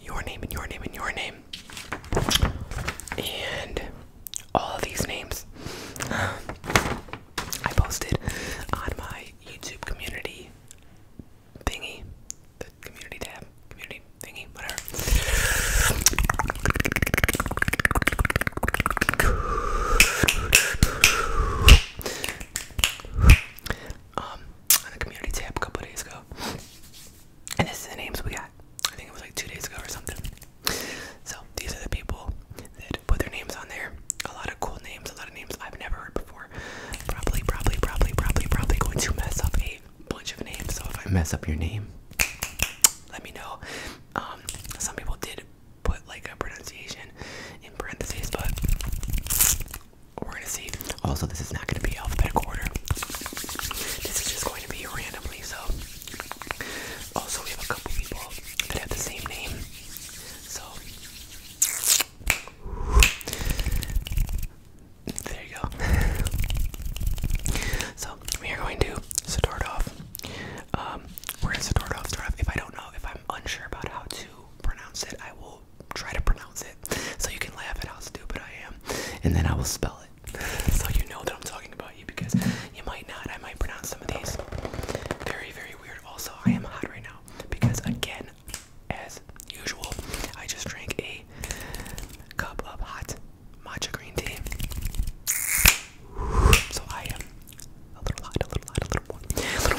your name and your name and your name. And all of these names I posted on my YouTube community thingy. The community tab. Community thingy, whatever um, on the community tab a couple days ago. And this is the names we got. I think it was like two days ago or something. So these are the people that put their names on there. A lot of cool names, a lot of names I've never heard before. Probably, probably, probably, probably, probably going to mess up a bunch of names. So if I mess up your name, let me know. Um, some people did put like a pronunciation in parentheses, but we're gonna see. Also, this is not gonna be alphabetical order. This is just going to be randomly. So, also we have a couple people that have the same name. So, there you go. so we are going to start off. Um, we're gonna start off. Start off. If I don't know, if I'm unsure about how to pronounce it, I will try to pronounce it so you can laugh at how stupid I am, and then I will spell it so you know that I'm talking about you because you might not. I might pronounce some of these very, very weird. Also, I am hot right now because, again, as usual, I just drank a cup of hot matcha green tea. So I am a little hot, a little hot, a little more,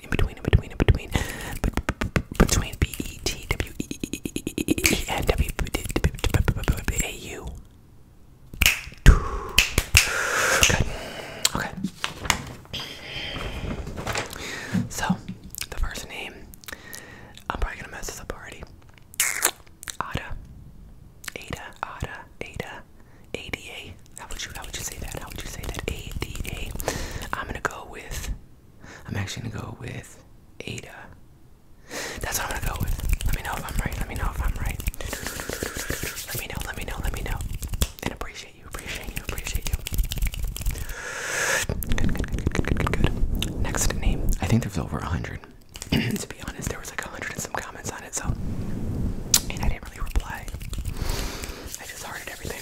between, in between, in between, in between, between B E T W E N W A U. Good. Okay. So, the first name, I'm probably gonna mess up already. Ada, Ada, Ada, Ada, ADA. How would you, how would you say that? How would you say that? ADA. I'm gonna go with I'm actually gonna go with Ada. That's what I'm gonna go with. Let me know if I'm right. Let me know if I'm right. Let me know, let me know, let me know. And appreciate you, appreciate you, appreciate you. Good, good, good, good, good, good, good. Next name. I think there's over a hundred. to be honest, there was like a hundred and some comments on it, so and I didn't really reply. I just hearted everything.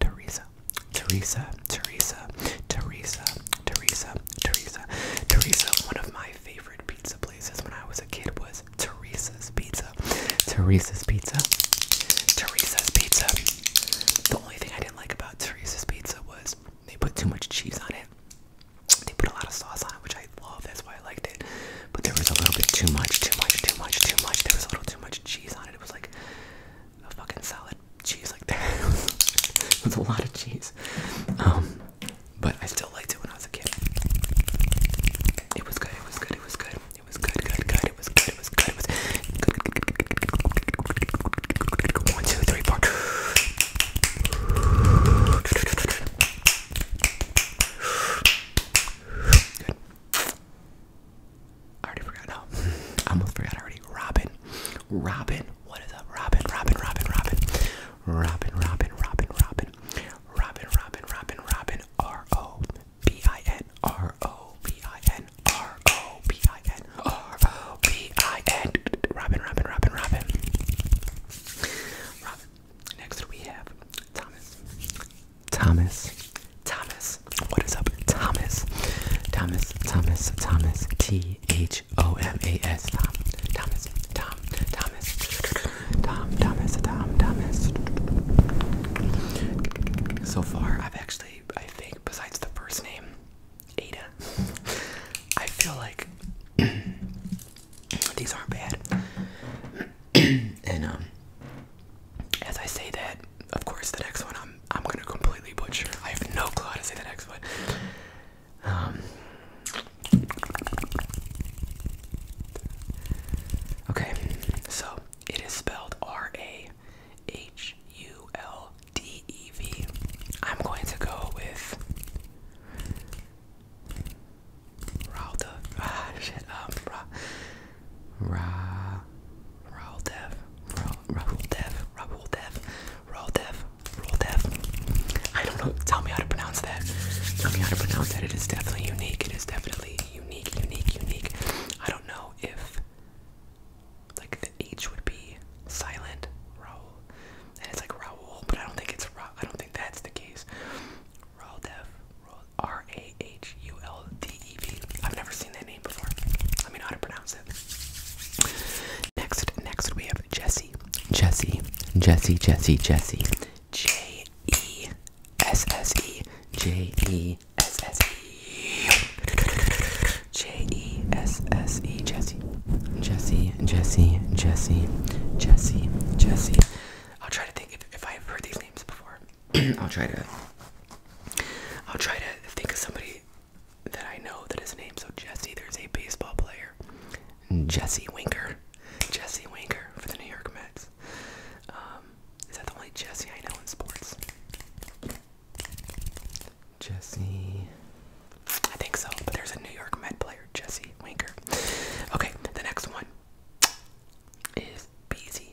Teresa, Teresa, Teresa, Teresa, Teresa, Teresa, Teresa. One of my favorite pizza places when I was a kid was Teresa's Pizza. Teresa's Pizza. Teresa's Pizza. The only thing I didn't like about Teresa's Pizza was they put too much cheese on it. They put a lot of sauce on it, which I love. That's why I liked it. But there was a little bit too much, too much, too much, too much. There was a little too much cheese on it. It was like a fucking solid cheese like that. it was a lot of cheese. Um, but I still liked it when I was a kid. It was good, it was good, it was good. It was good, good, good, it was good, it was good, it was good. One, two, three, four. Good. I already forgot. No, I almost forgot already. Robin, Robin, what is up? Robin, Robin, Robin, Robin, Robin, Robin, Robin, Robin, Robin, Robin, Robin, Robin, R O B I N, R O B I N, R O B I N, R O B I N, Robin, Robin, Robin, Robin, Robin. Next we have Thomas, Thomas, Thomas. What is up, Thomas? Thomas, Thomas, Thomas. T H O M A S. Tom, Thomas, Tom, Thomas, Tom, Thomas, Tom, Thomas. So far, I've actually, I think, besides the first name, Ada, I feel like these aren't bad. and um, as I say that, of course the next one I'm I'm gonna completely butcher. I have no clue how to say the next one. Um, okay, so it is spelled R A H U L D E V. I'm going to go with ah, um, Raldev. Raoul Dev, Raoul Dev, Raoul Dev, Raoul Dev. I don't know. Tell me how to pronounce that. Tell me how to pronounce that. It is definitely unique. It is definitely unique, unique, unique. I don't know if like the H would be silent, Raoul, and it's like Raoul, but I don't think it's Ra I don't think that's the case. Raul Dev, R A H U L D D-E-V. I've never seen that name before. Let me know how to pronounce it. Next, next we have Jesse. Jesse, Jesse, Jesse, Jesse. J E S S E. J E S S E. J E S S E. Jesse. Jesse, Jesse, Jesse, Jesse, Jesse. I'll try to think if, if I've heard these names before. I'll try to. I'll try to think of somebody that I know that his name. So Jesse, there's a baseball player, Jesse Winker, Jesse Winker for the New York Mets. Um, is that the only Jesse I know in sports? Jesse, I think so. But there's a New York Mets player, Jesse Winker. Okay, the next one is BZ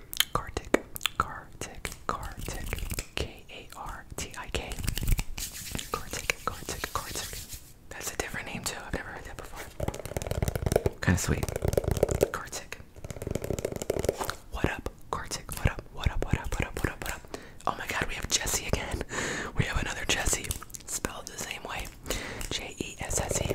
Kartik, Kartik, Kartik, K A R T I K. Kartik, Kartik, Kartik. That's a different name too. I've never heard that before. Kind of sweet. Kartik. What up, Kartik? What up? What up? What up? What up? What up? What up? Oh my God, we have Jesse again. We have another Jesse, spelled the same way. J E S S E.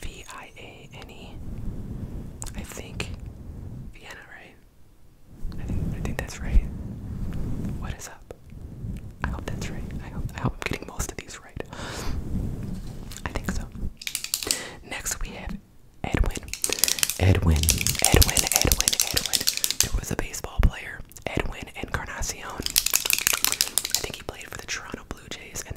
V I A N E. I think Vienna, right? I think I think that's right. What is up? I hope that's right. I hope I am getting most of these right. I think so. Next we have Edwin. Edwin. Edwin. Edwin. Edwin. There was a baseball player, Edwin Encarnacion. I think he played for the Toronto Blue Jays and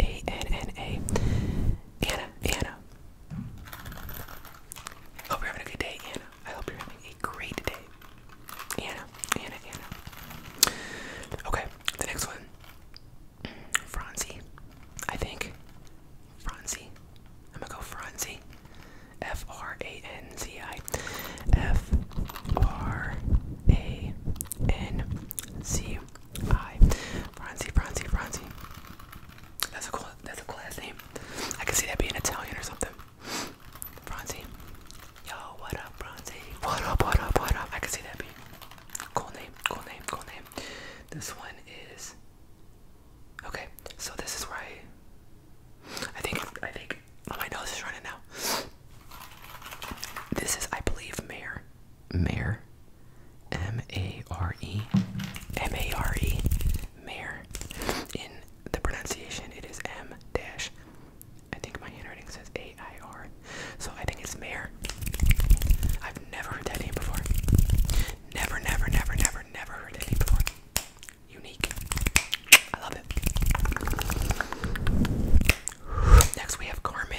A N N A. Anna, Anna. Hope you're having a good day, Anna. I hope you're having a great day. Anna, Anna, Anna. Okay, the next one. Franzi, I think. Franzi. I'm gonna go Franzi. F R A N Z I. F R A N Z Hi, Franzi, Franzi, Franzi. That's a cool. That's a cool ass name. I can see that being Italian or something. Franzi. Yo, what up, Franzi? What up? What up? What up? I can see that being. Cool name. Cool name. Cool name. This one is. Okay, so this is where I. I think. I think. Oh, my nose is running now. This is, I believe, Mayor. Mare, M A R E, M A R E, Mare. In the pronunciation, it is M dash. I think my handwriting says A I R, so I think it's Mare. I've never heard that name before. Never, never, never, never, never heard that before. Unique. I love it. Next, we have Carmen.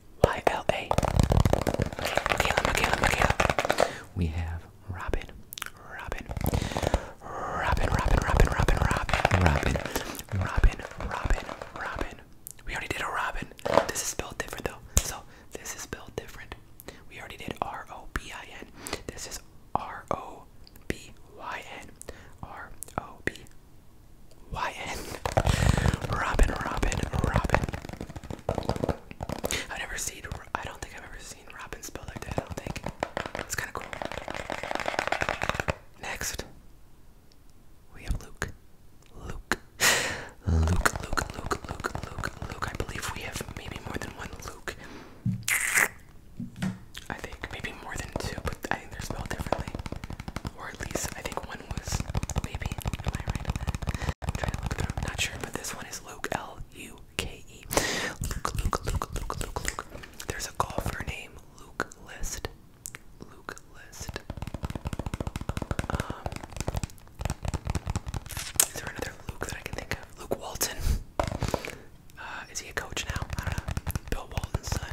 Y-L-A. We have Robin, Robin, Robin, Robin, Robin, Robin, Robin, Robin, Robin, Robin. We already did a Robin. This is spelled different though. So this is spelled different. We already did R-O-B-I-N. This is R-O-B-Y-N. R-O-B-Y-N. Robin, Robin, Robin. I never seen. I don't think I've ever seen Robin spell like that. I don't think. It's kind of cool. Next, we have Luke. Luke. Luke. Luke. Luke. Luke. Luke. I believe we have maybe more than one Luke. I think maybe more than two, but I think they're spelled differently, or at least I think maybe oh, not sure, but this one is Luke L U K E. Luke, Luke, Luke, Luke, Luke, Luke. There's a golfer named Luke List. Luke List. Um, is there another Luke that I can think of? Luke Walton. Uh, is he a coach now? I don't know. Bill Walton's son.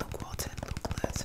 Luke Walton, Luke List.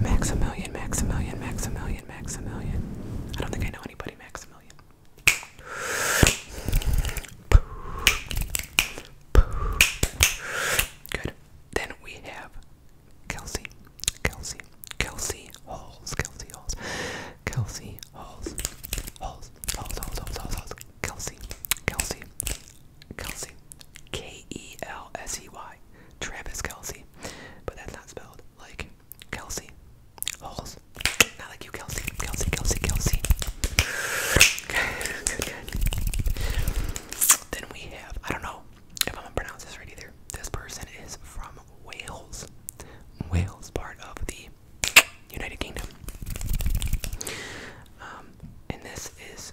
Maximilian. Maximilian, Maximilian, Maximilian, Maximilian. I don't think I know anybody, Maximilian. Good. Then we have Kelsey, Kelsey, Kelsey Halls, Kelsey Halls, Kelsey Halls, Halls, Halls, Halls, Halls, Halls, Kelsey, Kelsey Kelsey. K E L S E Y. Travis Kelsey. But that's not spelled like Kelsey. Holes. Not like you, Kelsey. Kelsey, Kelsey, Kelsey. good, good, good. Then we have, I don't know if I'm gonna pronounce this right either. This person is from Wales. Wales, part of the United Kingdom. Um, and this is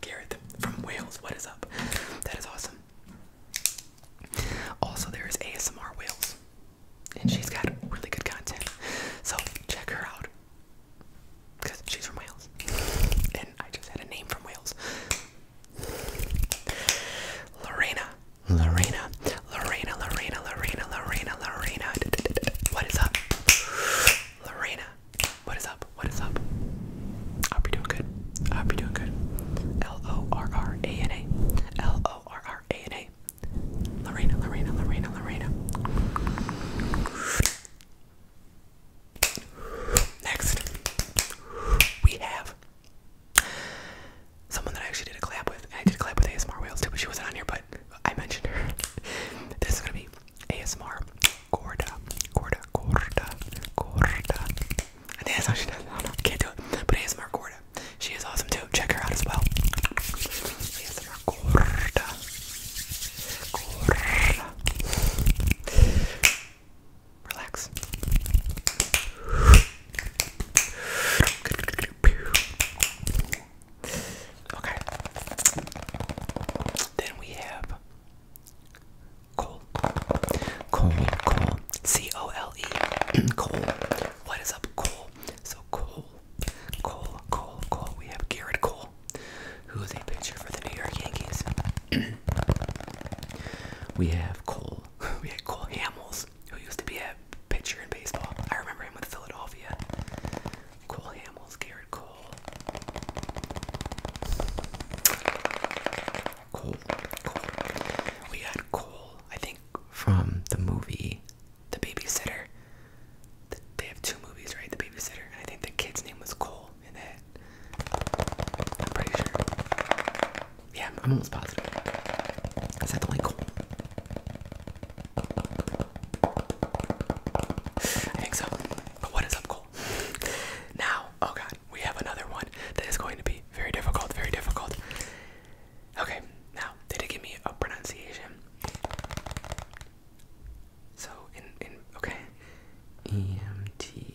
Gareth from Wales, what is up? That is awesome. Also, there is ASMR Wales, and she's got really good content. So check her out, cause she's from Wales, and I just had a name from Wales. Lorena, Lorena, Lorena, Lorena, Lorena, Lorena, Lorena. What is up, Lorena? What is up? What is up? I hope you're doing good. I hope you're doing good. L O R R A N A. L O R R A N A. Lorena, Lorena, Lorena, Lorena. Next, we have someone that I actually did a collab with. I did a collab with ASMR Wales too, but she wasn't on here, but I mentioned her. This is gonna be ASMR Gorda. Gorda. Corda, Corda. I that's how she does Can't do it. But ASMR Corda. She is awesome too. Check her out as well. ASMR Corda. Corda. Relax. Okay. Then we have Coal. Coal, coal. C O L E. coal. What is up, coal? So, coal. Coal, coal, coal. We have Garrett Cole, who is a pitcher for the New York Yankees. we have Cole. We had Cole Hamels, who used to be a pitcher in baseball. I remember him with Philadelphia. Cole Hamels, Garrett Cole coal, We got coal, I think, from the movie The Babysitter. they have two movies, right? The Babysitter, I think the kid's name was Cole in that. I'm pretty sure. Yeah, I'm almost positive. Is that the only Cole? I think so. But what is up, Cole? now, Oh god, we have another one that is going to be very difficult, very difficult. Okay, now they did give me a pronunciation. So in in okay, EMTS,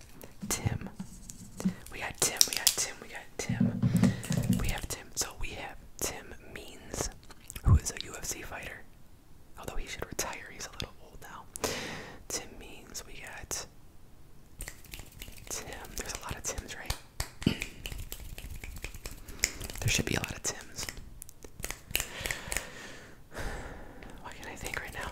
Tim. We got Tim, we got Tim, we got Tim. We have Tim. So we have Tim Means, who is a UFC fighter. Although he should retire, he's a little old now. Tim Means, we got Tim. There's a lot of Tims, right? there should be a lot of Tims. What can I think right now?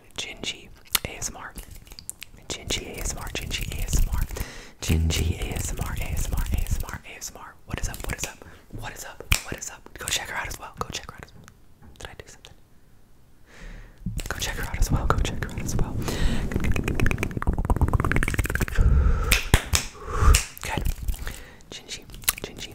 at Gingy ASMR. Gingy ASMR, Gingy ASMR, Gingy ASMR, ASMR, ASMR, ASMR. What is up? What is up? What is up? What is up? Go check her out as well. Go check her out as well. Did I do something? Go check her out as well. Go check her out as well. Good. Gingy, Gingy,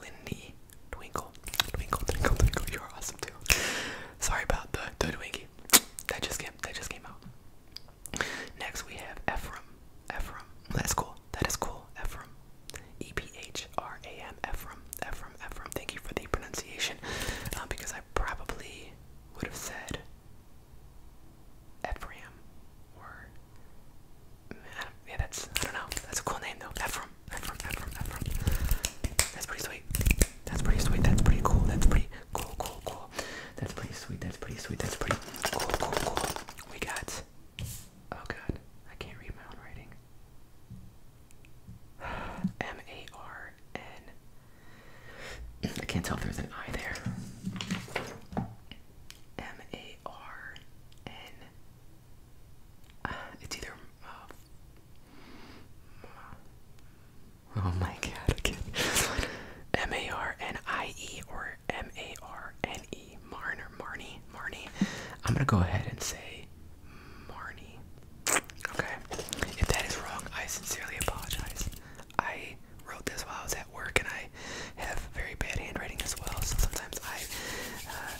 Lindy Twinkle. Twinkle, twinkle, twinkle. You're awesome too. Sorry about the, the Twinkie. That just came that just came out. Next we have Ephraim. Ephraim. That's cool. That is cool. Ephraim. E P H R A M Ephraim. Ephraim. Ephraim. Thank you for the pronunciation. Uh, because I probably would have said Ephraim or yeah, that's I don't know. That's a cool name though. Ephraim, Ephraim, Ephraim, Ephraim. That's pretty sweet. That's pretty sweet. That's pretty cool. That's pretty cool, cool, cool. That's pretty sweet. That's pretty sweet. That's pretty cool, cool, cool. We got. Oh god, I can't read my own writing. M A R N. I can't tell if there's an I there. M A R N It's either. Uh, oh my god, again. M A R N I E or M A R N E. Marn Marnie? Marnie. I'm gonna go ahead and say Marnie. Okay. If that is wrong, I sincerely apologize. I wrote this while I was at work and I have very bad handwriting as well, so sometimes I uh,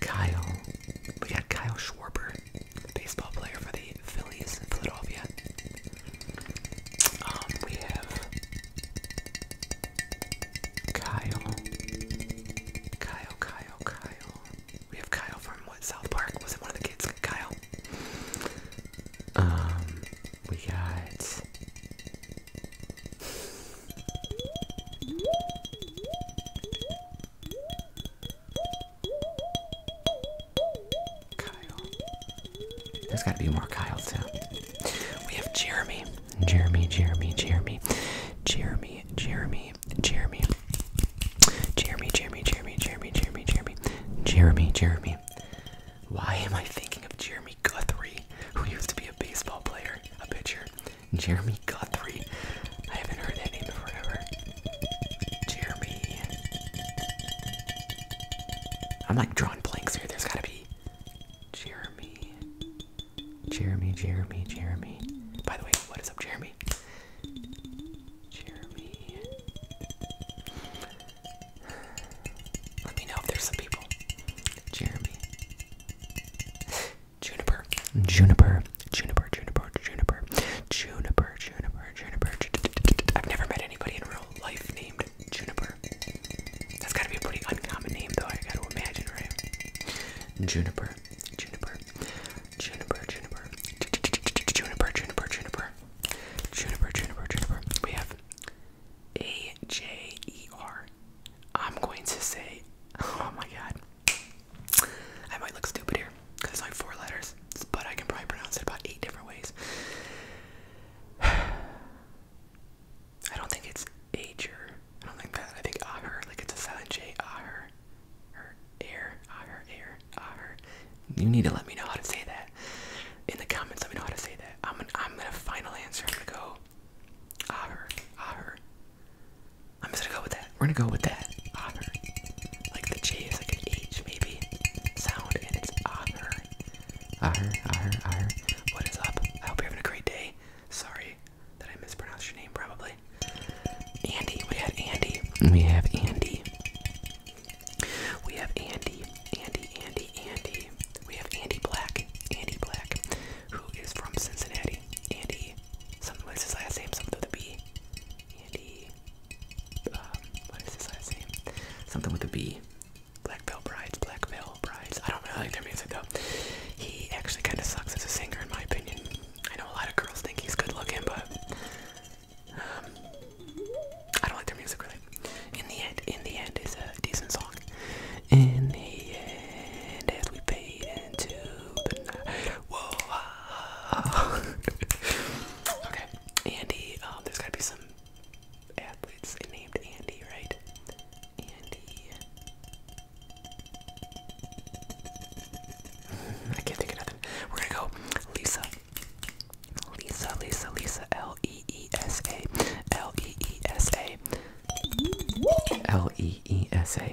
Kyle. We got Kyle Schwarber, baseball player for the Phillies in Philadelphia. Um, we have Kyle. Kyle, Kyle, Kyle. We have Kyle from what? South Park? Was it one of the kids? Kyle. Um, we got. Kyle. There's gotta be more Kyles out. We have Jeremy. Jeremy, Jeremy, Jeremy. Jeremy, Jeremy, Jeremy. Jeremy, Jeremy, Jeremy, Jeremy, Jeremy, Jeremy. Jeremy, Jeremy. Why am I thinking of Jeremy Guthrie, who used to be a baseball player, a pitcher? Jeremy Guthrie. I haven't heard that name in forever. Jeremy. I'm like drawing blanks here. There's gotta be Jeremy. Jeremy, Jeremy, Jeremy. By the way, what is up, Jeremy? Jeremy. Let me know if there's some people. Jeremy. Juniper, juniper, juniper, juniper, juniper, juniper, juniper, juniper. I've never met anybody in real life named Juniper. That's gotta be a pretty uncommon name, though. I gotta imagine, right? Juniper, juniper, juniper, juniper, juniper, juniper, juniper, juniper, juniper, juniper. We have A J E R. I'm going to say, oh my god. I might look stupid here because it's only four letters, but I can probably pronounce it about eight different ways. I don't think it's Ager. I don't think that. I think Aher. Like it's a silent J. Aher. Or air. Aher. Air. Aher. You need to let me know how to say that. In the comments, let me know how to say that. I'm gonna, I'm gonna final answer. I'm gonna go. Aher. Aher. I'm just gonna go with that. We're gonna go with that. Honor. Like the J is like an H maybe sound, and it's honor. Honor, honor, honor. What is up? I hope you're having a great day. Sorry that I mispronounced your name probably. Andy, we have Andy. We have Andy. We have Andy, Andy, Andy, Andy. We have Andy Black, Andy Black who is from Cincinnati. Andy, some what's his last name? Something with a B. Andy, um, what is his last name? Something with a B. Black Veil Brides, Black Veil Brides. I don't really like their music though. He actually kind of sucks as a singer, in my opinion. I know a lot of girls think he's good looking, but um, I don't like their music really. In the end, in the end is a decent song. In the end, as we pay okay, Andy. Um, there's gotta be some athletes named Andy, right? Andy. I can't of nothing. We're gonna go Lisa. Lisa, Lisa, Lisa. L E E S A. L E E S A. L E E S A.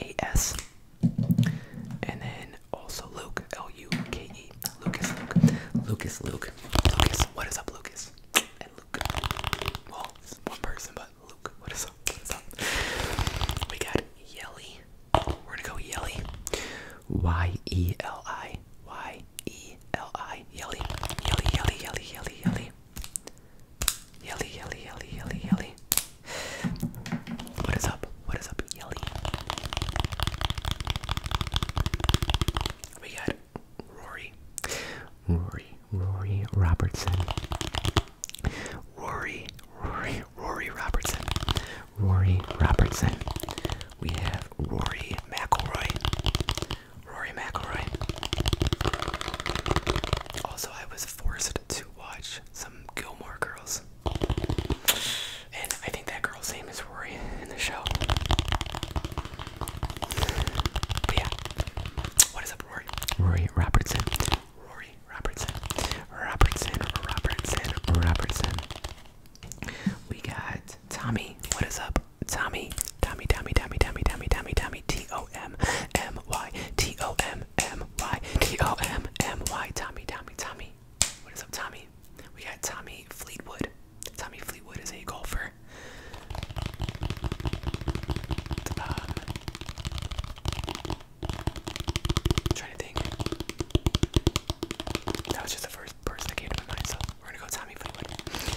a-S. And then also Luke, L-U-K-E, Lucas, Luke, Lucas, Luke, Lucas, what is up, Lucas? And Luke, well, it's one person, but Luke, what is up, what is up? We got Yelly, we're gonna go Yelly, Y-E-L-I, Y-E-L-I, Yelly, Yelly, Yelly, Yelly, Yelly, Yelly. Yelly, yelly, yelly, yelly, yelly. What is up? What is up, yelly? We got Rory. Rory, Rory Robertson. Rory, Rory, Rory Robertson. Rory Robertson. We have Rory McIlroy. Rory McIlroy. Also, I was forced to watch some Gilmore Girls, and I think that girl's name is Rory in the show. But yeah, what is up, Rory? Rory Robertson. Rory Robertson. Robertson. Robertson. Robertson. We got Tommy. What is up, Tommy? Tommy, Tommy, Tommy, Tommy, Tommy, Tommy, Tommy, T O O M M Y T O M M Y T O M M Y. Tommy, Tommy, Tommy. What is up, Tommy? We got Tommy Fleetwood. Tommy Fleetwood is a golfer. I'm uh, trying to think. That was just the first person that came to my mind, so we're gonna go Tommy Fleetwood.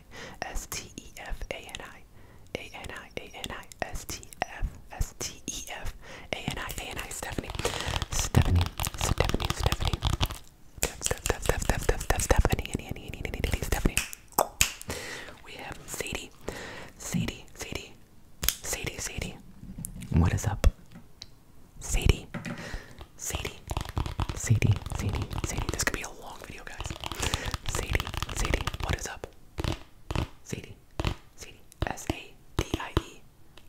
I S T E F A N I A N I A N I S T F S T E F A N I A N I Stephanie Stephanie Stephanie Stephanie Stephanie Stephanie We have Sadie Sadie Sadie Sadie Sadie What is up Sadie Sadie Sadie, Sadie, Sadie. This could be a long video, guys. Sadie, Sadie, what is up? Sadie, Sadie. S A D I E.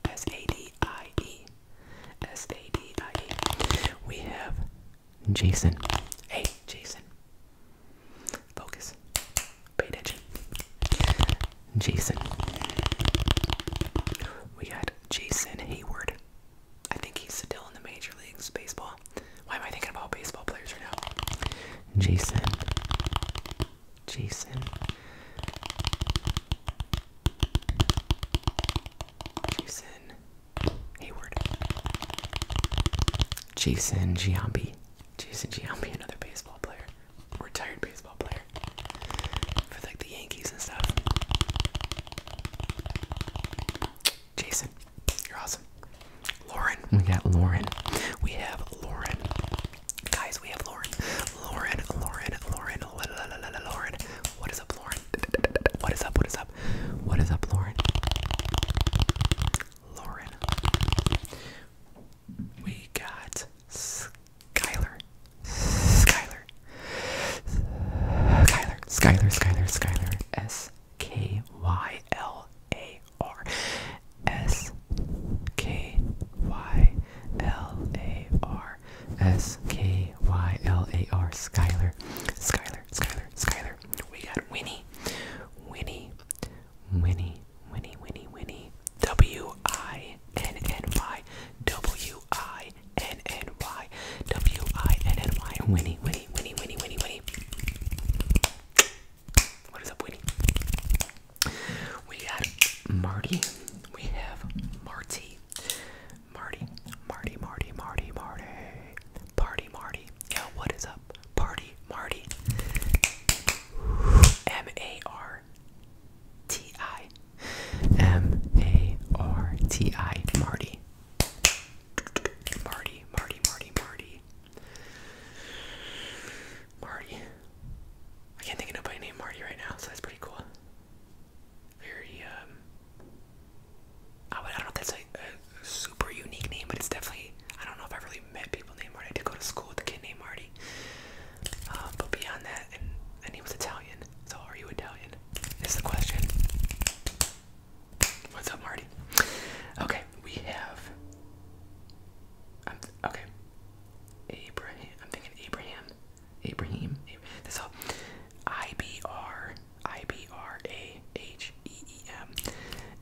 S A D I E. S A D I E. We have Jason. Hey, Jason. Focus. Pay attention. Jason. We got Jason Hayward. I think he's still in the major leagues baseball. Why am I thinking about baseball players right now? Jason. Jason. Jason Hayward. Jason Giambi. Jason Giambi, another baseball player. Retired baseball player. For like the Yankees and stuff. Jason. You're awesome. Lauren, we got Lauren. We have Lauren. Guys, we have Lauren. Lauren, Lauren, Lauren, Lauren. What is up, Lauren? What is up? What is up? What is up, Lauren? Lauren. We got Skylar. Skylar. Skylar. Skylar. Skylar. Skylar. S K Y L A R. S K Y L A R. S K Y L A R. Skylar. Skylar. Skylar. Skylar. We got Winnie. Winnie. Winnie. Winnie. Winnie. Winnie. W I N N Y. W I N N Y W I N N Y Winnie Winnie Winnie Winnie Winnie Winnie What is up Winnie? We got Marty. We have Marty. Marty Marty Marty Marty Marty Party Marty. Yo, what is up? Party Marty M A R T I M A R T I Marty Marty, Marty, Marty, Marty. Marty. I can't think of nobody named Marty right now, so that's pretty cool. Very, um. I, don't know if that's a super unique name, but it's definitely. I don't know if I've really met people named Marty. I did go to school with a kid named Marty. Uh, but beyond that, and he was Italian. So, are you Italian? Is the question. What's up, Marty? Okay, we have. I'm th okay. Abraham. I'm thinking Abraham. Abraham. Ab that's all. I B R I B R A H E E M.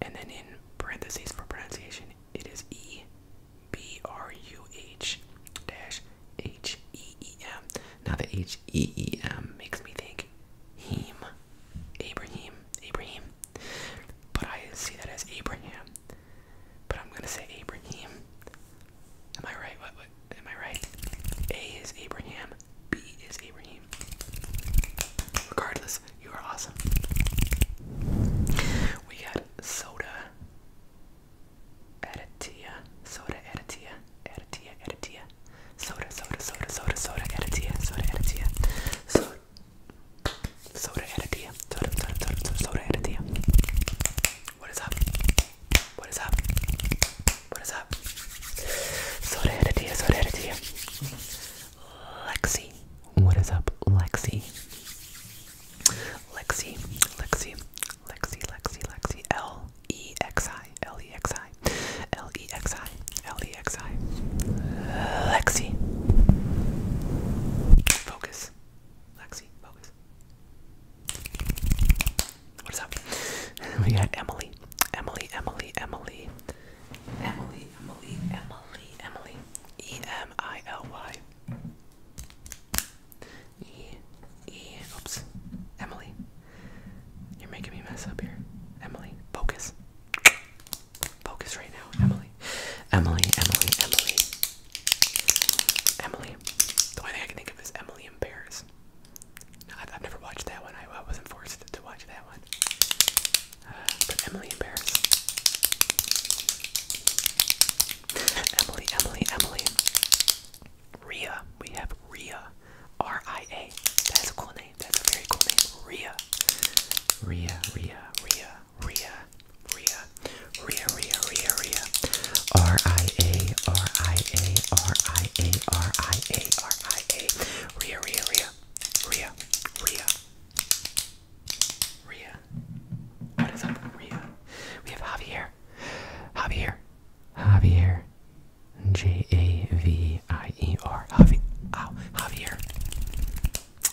And then in parentheses for pronunciation, it is E B R U H dash H E E M. Now the H E E M makes me think Heem. Abraham. Abraham. But I see that as Abraham. But I'm gonna say Abraham. Am I right? What, what am I right? A is Abraham. B is Abraham. Regardless, you are awesome. We got soda. Aditya. Soda Aditya. Aditya. Aditya. Soda, soda, soda, soda, soda, editia, soda, editia. Soda, soda, editia. Soda, soda, soda, soda, soda, editia. What is up? What is up? What is up? Soda, editia, soda, editia. Lexi. What is up, Lexi? Lexi, Lexi, Lexi, Lexi, Lexi, L. E X I L E X I L E X I L E X I Lexi. Focus. Lexi, focus. What is up? We got Emily. Emily, Emily, Emily. Emily, Emily, Emily, Emily. E M I L Y. E E oops. Emily. You're making me mess up here. Emily, focus. Focus right now, Emily. Emily, Emily, Emily. Emily. The only thing I can think of is Emily in Paris. I've, never watched that one. I, wasn't forced to, watch that one. Uh, Emily in Paris. Emily, Emily, Emily. Ria. We have Ria. R-I-A. That is a cool name. That's a very cool name. Ria. Ria, Ria, Ria, Ria, Ria, Ria, Ria, Ria, Ria. R-I-A, R-I-A, R-I-A, R-I-A, R-I-A. Ria, Ria, Ria, Ria, Ria. Ria. What is up, Ria? We have Javier. Javier. Javier. J A V I E R. Javi. Ow, Javier.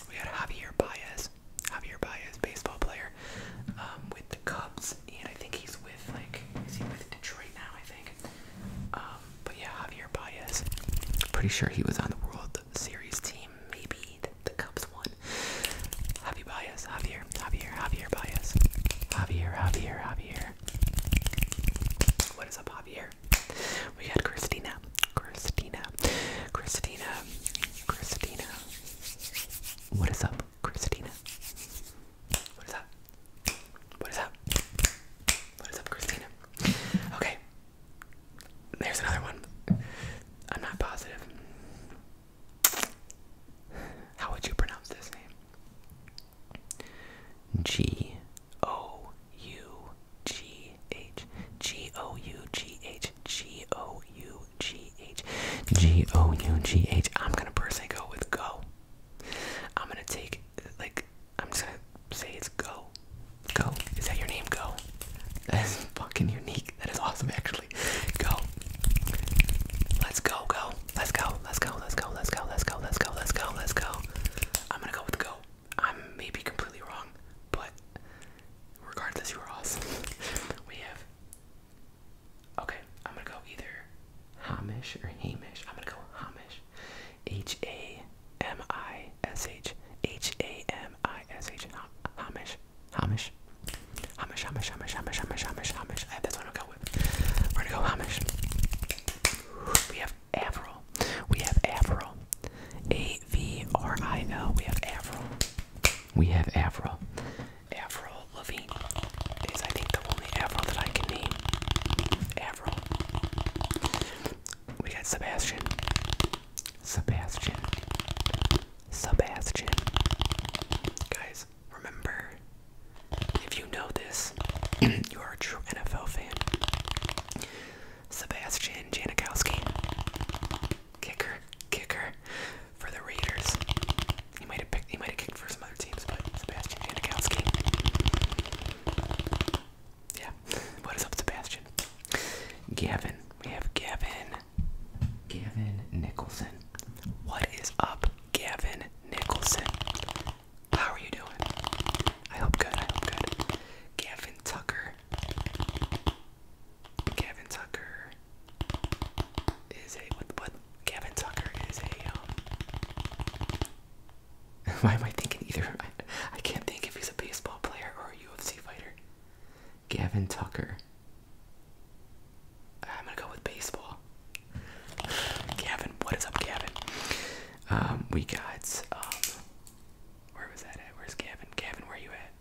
We got Javier Baez. Javier Baez, baseball player, um, with the Cubs, and I think he's with like is he with Detroit now? I think. Um, but yeah, Javier Baez. Pretty sure he was on the World Series team. Maybe the, the Cubs won. Javier Baez, Javier, Javier, Javier Baez, Javier, Javier, Javier, Javier. What is up, Javier? We had Christina. Christina. Christina. Christina. What is up, Christina? What is up? What is up? What is up, Christina? Okay. There's another one. I'm not positive. How would you pronounce this name? G O U G H G O U G H G O U G H G O U G H. I'm gonna personally go with go. I'm gonna take like I'm just gonna say it's go. Go. Is that your name? Go. That is fucking unique. That is awesome actually. Go. Let's go, go. Let's go. Let's go. Let's go. Let's go. Let's go. Let's go. Let's go. Let's go. I'm gonna go with go. I may be completely wrong, but regardless, you are awesome. we have. Okay, I'm gonna go either Hamish or Hamish. I'm gonna go Hamish. H A M I S H. H A M I S H. Hamish. Hamish. Hamish. Hamish. Hamish. Hamish. Hamish. Hamish. Hamish. Hamish. I have this one. Okay. We're gonna go Amish. We have Avril. We have Avril. A V R I L. We have Avril. We have Avril. Avril Lavigne is, I think, the only Avril that I can name. Avril. We got Sebastian. Sebastian. Sebastian. Guys, remember if you know this, you are a true NFL fan. Sebastian Janikowski, kicker, kicker for the Raiders. He might have picked, he might have kicked for some other teams, but Sebastian Janikowski. Yeah, what is up, Sebastian? Gavin, we have Gavin, Gavin Nicholson. What is up, Gavin Nicholson? How are you doing? I hope good. I hope good. Gavin Tucker. Gavin Tucker is a what? What? Gavin Tucker is a. Um, why am I thinking either? I can't think if he's a baseball player or a UFC fighter. Gavin Tucker. I'm gonna go with baseball. Gavin, what is up, Gavin? Um, we got um, where was that at? Where's Gavin? Gavin, where are you at?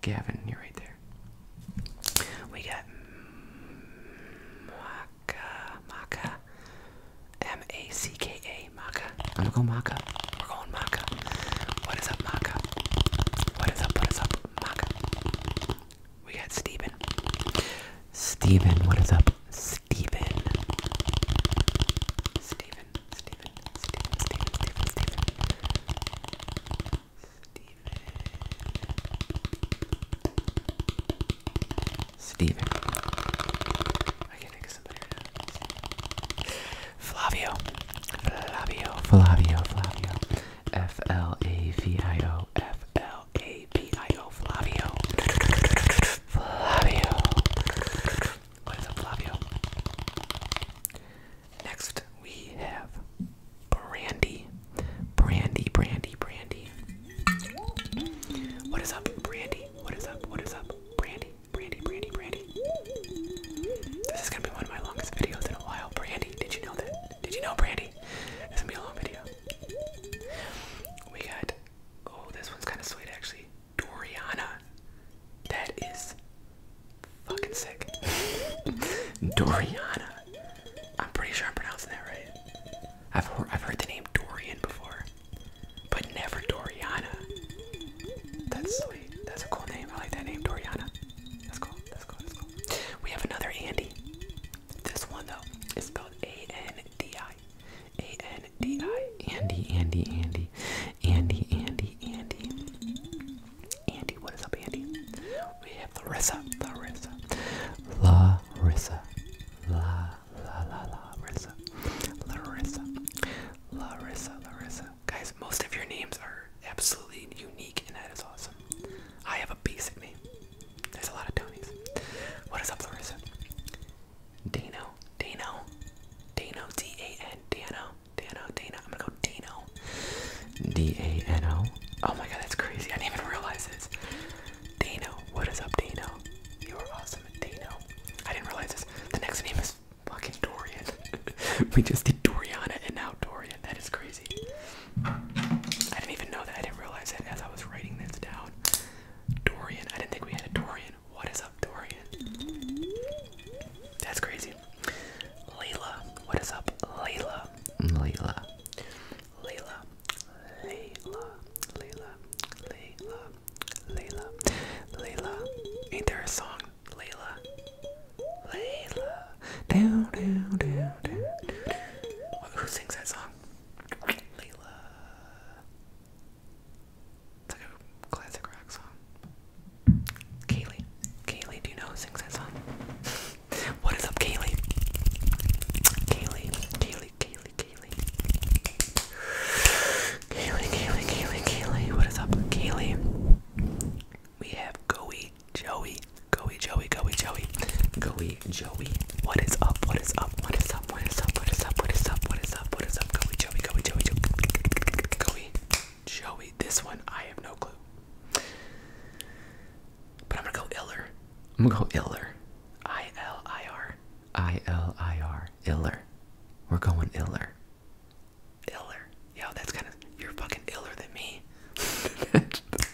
Gavin, you're right there. We got Maka, Maka, M A C K A, Maka. I'm gonna go Maka. We're going Maka. What is up, Maka? What is up? What is up, Maka? We got Steven. Steven, what is up? Steven. Steven, Steven, Steven, Steven, Steven, Steven. Steven. I Flavio. Flavio, Flavio, Flavio. F L A V I O F L L A B I O Flavio. Flavio. What is up, Flavio? Next, we have Brandy. Brandy, Brandy, Brandy. What is up, Brandy? What is up? What is up? Brandy, Brandy, Brandy, Brandy. This is gonna be one of my longest videos in a while. Brandy, did you know that? Did you know, Brandy? be it's going a long video. We got oh this one's kinda sweet actually. Doriana. That is fucking sick. Doriana. I'm pretty sure I'm pronouncing that right. I've heard I've heard the name Dorian before. But never Doriana. That's sweet. That's a cool name. I like that name, Doriana. That's cool. That's cool. That's cool. We have another Andy. This one though is spelled spelled A-N-D-I. A-N-D-I. Andy, Andy, Andy. Andy, Andy, Andy. Andy, what is up, Andy? We have Larissa. Larissa. Larissa. La la la la Larissa. Larissa. Larissa. Larissa. Guys, most of your names are absolutely unique and that is awesome. I have a basic name. There's a lot of Tonys. What is up, Larissa? Dino, Dino, Dano, D-A-N, Dano, Dano, Dano. I'm gonna go Dino. D-A-N-O. Oh my god, that's crazy. I didn't even realize this. Dino, what is up, Dino? You are awesome, Dino. I didn't realize this. The next name is fucking Dorian. we just did Doriana and now Dorian. That is crazy. I didn't even know that. I didn't realize it as I was writing this down. Dorian. I didn't think we had a Dorian. What is up, Dorian? That's crazy. Layla. What is up, Layla? Layla. Layla. Layla. Layla. Layla. Layla. Layla. Ain't there a song? Layla. Layla. Down, down, down, down. Who sings that song? Layla. It's like a classic rock song. Kaylee. Kaylee, do you know who sings that song? what is up, Kaylee? Kaylee, Kaylee, Kaylee, Kaylee. Kaylee, Kaylee, Kaylee, Kaylee. What is up, Kaylee? We have Goey, Joey, Goey Joey, Goey Joey, Goey Joey. What is up? What is up? What is up? What is up? What is up? What is up? What is up? What is up? Goey Joey, Goey Joey, Joey, Goey Joey. This one I have no clue, but I'm gonna go iller. I'm gonna go iller. I L I R. I L I R. Iller. We're going iller. Iller. Yo, that's kind of you're fucking iller than me.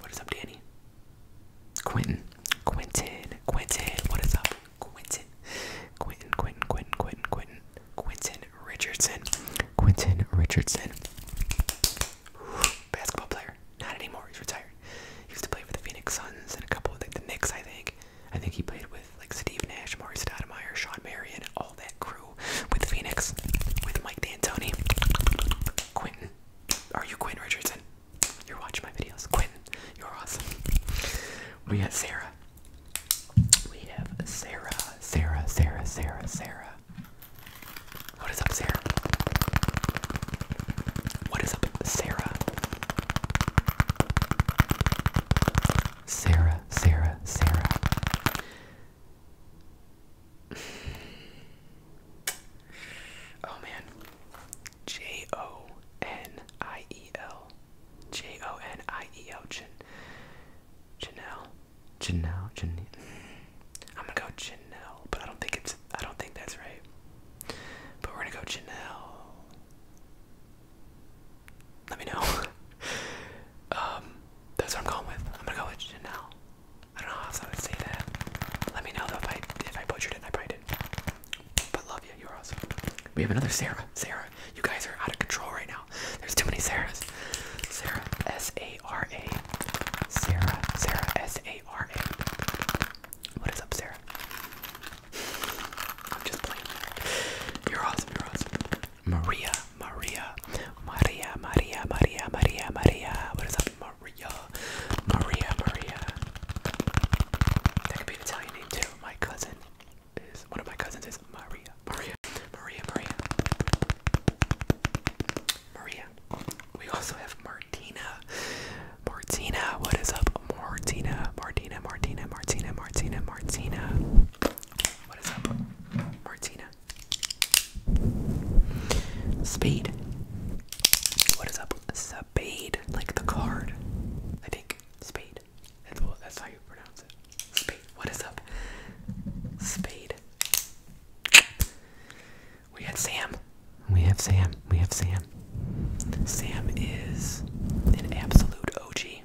What is up, Danny? Quentin. Quentin. Quentin. What is up? Quentin. Quentin, Quentin, Quentin, Quentin, Quentin. Quentin Richardson. Quentin Richardson. Basketball player. Not anymore. He's retired. He used to play for the Phoenix Suns and a couple of the, the Knicks, I think. I think he played like Steve Nash, Mari Stoudemire, Sean Marion, all that crew with Phoenix, with Mike D'Antoni, Quentin. Are you Quentin Richardson? You're watching my videos. Quentin, you're awesome. We got Sarah. We have Sarah, Sarah, Sarah, Sarah, Sarah. What is up, Sarah? What is up, Sarah? Sarah, Sarah, Sarah. Oh man. J O N I E L. J O N I E L. Jan Janelle. Janelle. I'm gonna go Janelle, but I don't think it's I don't think that's right. But we're gonna go Janelle let me know. um, that's what I'm going with. I'm gonna go with Janelle. I don't know how else I would say that. Let me know though if I if I butchered it. I probably did. But love you. You're awesome. We have another Sarah. Sarah, you guys are out of control right now. There's too many Sarahs. Sarah, S A R A. Sarah, Sarah, S A R A. What is up, Sarah? I'm just playing. You're awesome. You're awesome. Maria, Maria, Maria, Maria, Maria, Maria, Maria. What is up, Maria? Maria, Maria. That could be an Italian name too. My cousin is one of my cousins is Maria, Maria, Maria, Maria, Maria. We also have Martina, Martina. What is up, Martina? Martina, Martina, Martina, Martina, Martina. What is up, Martina? Spade. What is up, Spade? Like the card. I think Spade. That's, how you pronounce it. Spade. What is up, Spade? We have Sam. We have Sam. We have Sam. Sam is an absolute OG.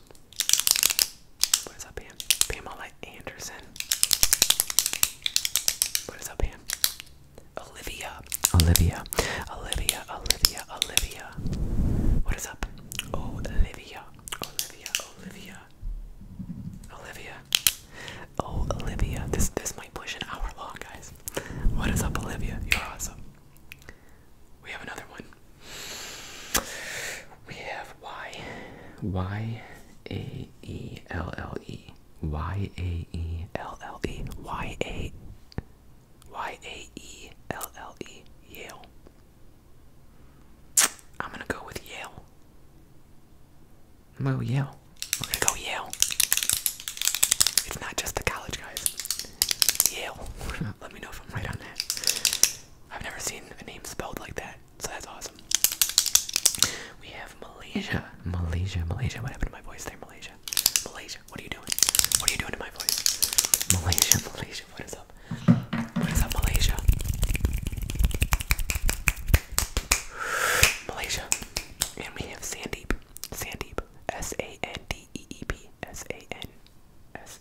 What is up, Pam? Pamela Anderson. What is up, Pam? Olivia. Olivia. Olivia. Olivia. Olivia. What is up? Olivia. Olivia. Olivia. Olivia. Oh, Olivia. This this might push an hour long, guys. What is up, Olivia? You're awesome. We have another one. We have Y Y A E L L E Y A E L L E Y A Y A E L L E Yale. I'm gonna go with Yale. i Yale. I'm gonna go Yale. It's not just the college guys. Yale. let me know if I'm right on that. I've never seen a name spelled like that, so that's awesome. We have Malaysia, Malaysia, Malaysia. What happened to my voice there, Malaysia? Malaysia, what are you doing? What are you doing to my voice? Malaysia, Malaysia, what is up? What is up, Malaysia? Malaysia. And we have Sandeep. Sandeep. S A N D E E P. S A N S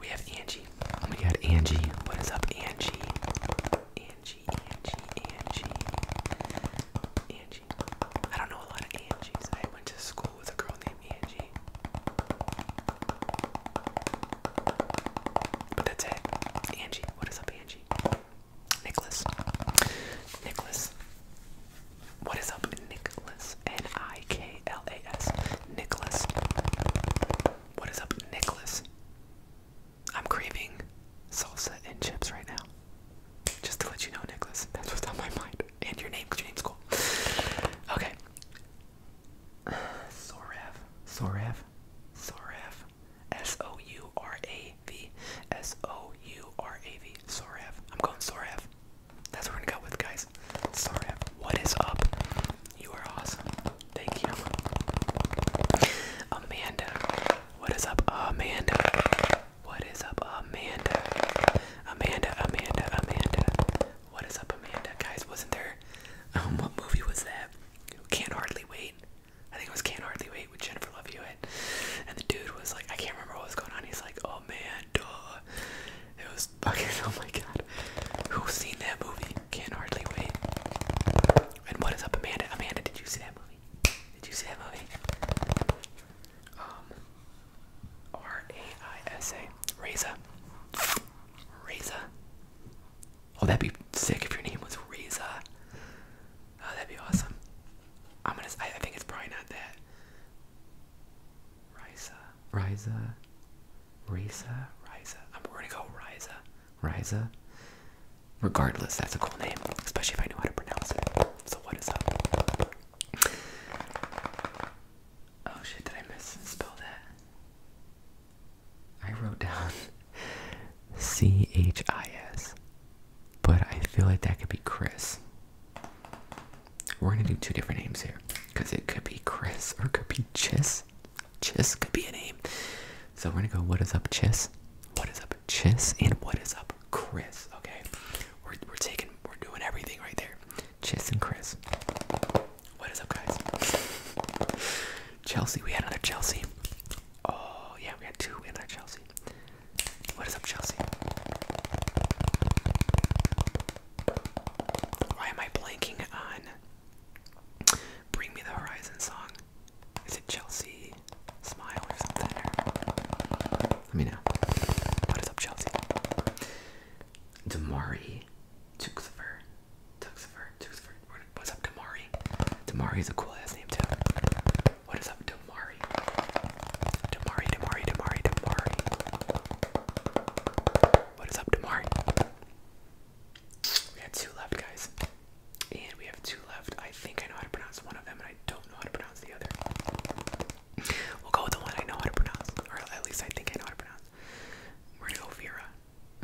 We have Angie. Oh my god, Angie. What is up, Angie? Angie, Angie, Angie. Angie. I don't know a lot of Angies. I went to school with a girl named Angie. But that's it. Angie. What is up, Angie? Nicholas. Nicholas. What is up, Nicholas? N I K L A S. Nicholas. What is up, Nicholas? I'm craving salsa and chips right now. Just to let you know, Nicholas, that's what's on my mind. And your name, because your name's cool. Okay. Uh, Sorav. Sorav. S O U R A V. S O U R A V maybe Sorav. I'm going Sorav. That's what we're gonna go with, guys. Sorav, what is up? You are awesome. Thank you. Amanda, what is up, Amanda? What is up, Amanda? Amanda, Amanda, Amanda. What is up, Amanda? Guys, wasn't there? Um, what movie was that? Can't hardly wait. I think it was Can't Hardly Wait with Jennifer Love Hewitt. And the dude was like, I can't remember what was going on. He's like, oh, oh man, duh. It was fucking, oh my god. Who's seen that movie? Can hardly wait. And what is up, Amanda? Amanda, did you see that movie? Did you see that movie? Um, R A I S A. Reza. Reza. Oh, that'd be sick if your name was Reza. Oh, that'd be awesome. I'm gonna. I, I think it's probably not that. Risa, Riza, Riza, Risa. I'm going to go Riza, Riza. Regardless, that's a cool name, especially if I know how to pronounce it. So what is up? Oh shit, did I misspell that? I wrote down C H I S, but I feel like that could be Chris. We're gonna do two different names here because it could be Chris or it could be Chis. Chis could be a name. So we're gonna go, what is up, Chis? What is up, Chis? And what is up, Chris? Okay, we're, we're taking, we're doing everything right there. Chis and Chris. What is up, guys? Chelsea, we had another Chelsea. Oh, yeah, we had two, we had another Chelsea. What is up, Chelsea? Why am I blanking on Bring Me the Horizon song? Is it Chelsea Smile or something? Let me know. What is up, Chelsea? Damari Tuxifer. Tuxifer. Tuxifer. What's up, Damari? Damari is a cool ass name, too. What is up, Damari? Damari, Damari, Damari, Damari. What is up, Damari? We have two left, guys. And we have two left. I think I know how to pronounce one of them, and I don't know how to pronounce the other. We'll go with the one I know how to pronounce, or at least I think I know how to pronounce. We're gonna go Vera.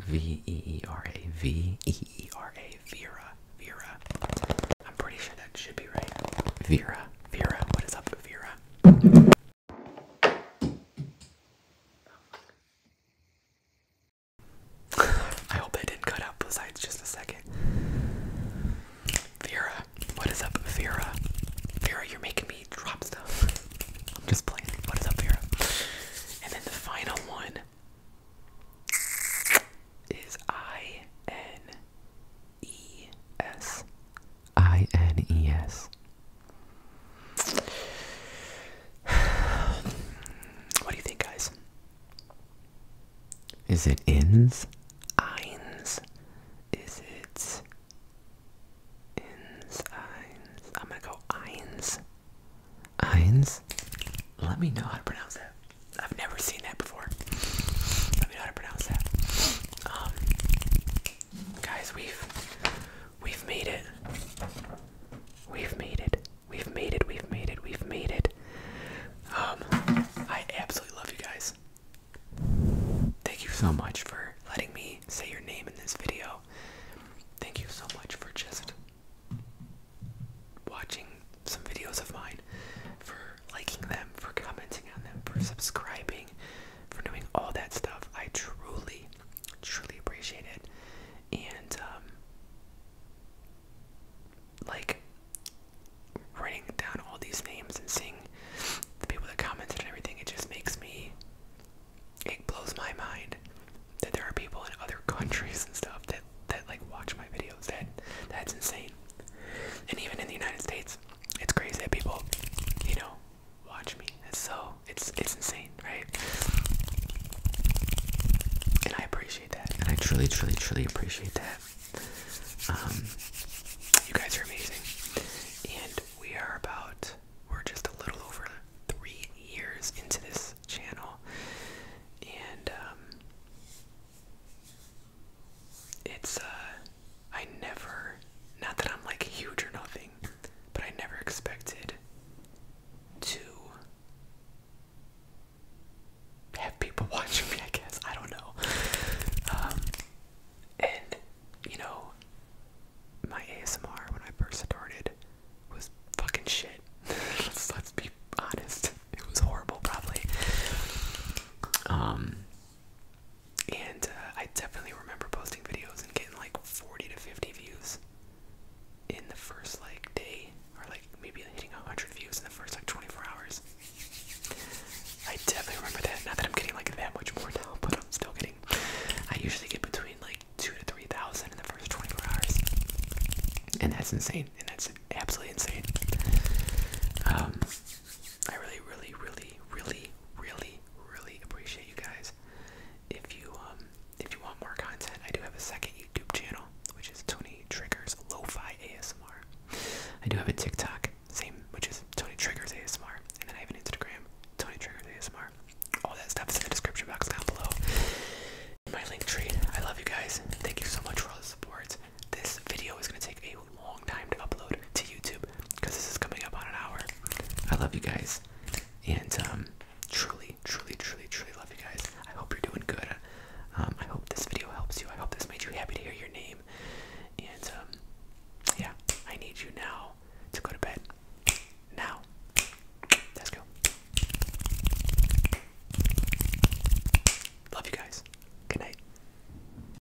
V E E R A. V E E R A. Vera. Vera. I'm pretty sure that should be right. Vera. Vera. What is up, Vera? I hope I didn't cut out both sides just a second. Vera, what is up, Vera? Vera, you're making me drop stuff. I'm just playing. What is up, Vera? And then the final one is I N E S I N E S. What do you think, guys? Is it ins? Eins? Is it ins? Eins? I'm gonna go eins. Eins? Let me know how to pronounce that. I've never seen that before. Let me know how to pronounce that. Um, Guys, we've we've made it. We've made it. We've made it. We've made it. We've made it. Um, I absolutely love you guys. Thank you so much for letting me say your name in this video. Thank you so much for just watching some videos of mine, for liking them, for commenting on them, for subscribing, for doing all that stuff. I truly, truly appreciate it. And, um, like, writing down all these names and seeing the people that commented and everything, it just makes me, it blows my mind that there are people in other countries and stuff that, that like watch my videos. That, that's insane. And even in the United States, it's crazy that people, you know, watch me. It's so it's it's insane, right? And I appreciate that. And I truly, truly, truly appreciate that. Um, you guys are amazing. And we are about we're just a little over three years into this channel. And um it's uh I never not that I'm like huge or nothing, but I never expected to have people watching me, I guess. I don't know. Um, and, you know, my ASMR when I first started was fucking shit. let's be honest. It was horrible, probably. Um, and uh, I definitely remember posting videos and getting like 40 to 50 views in the first like day, or like maybe hitting 100 views in the first like 24 hours. I definitely remember that. Now that I'm getting like that much more now, but I'm still getting. I usually get between like two to three thousand in the first 24 hours, and that's insane. And that's absolutely insane. Um, I really, really, really, really really, really, appreciate you guys. If you um, if you want more content, I do have a second YouTube channel, which is Tony Triggers Lo-Fi ASMR. I do have a TikTok, same, which is Tony Triggers ASMR, and then I have an Instagram, Tony Triggers ASMR. All that stuff is in the description box down below. My link tree. I love you guys. Thank you so much for all the support. This video is gonna take a long time to upload to YouTube because this is coming up on an hour. I love you guys, and um, truly, truly, truly, truly love you guys. I hope you're doing good. Um, I hope this video helps you. I hope this made you happy to hear your name. And um, yeah, I need you now to go to bed. Now, let's go. Love you guys. Good night.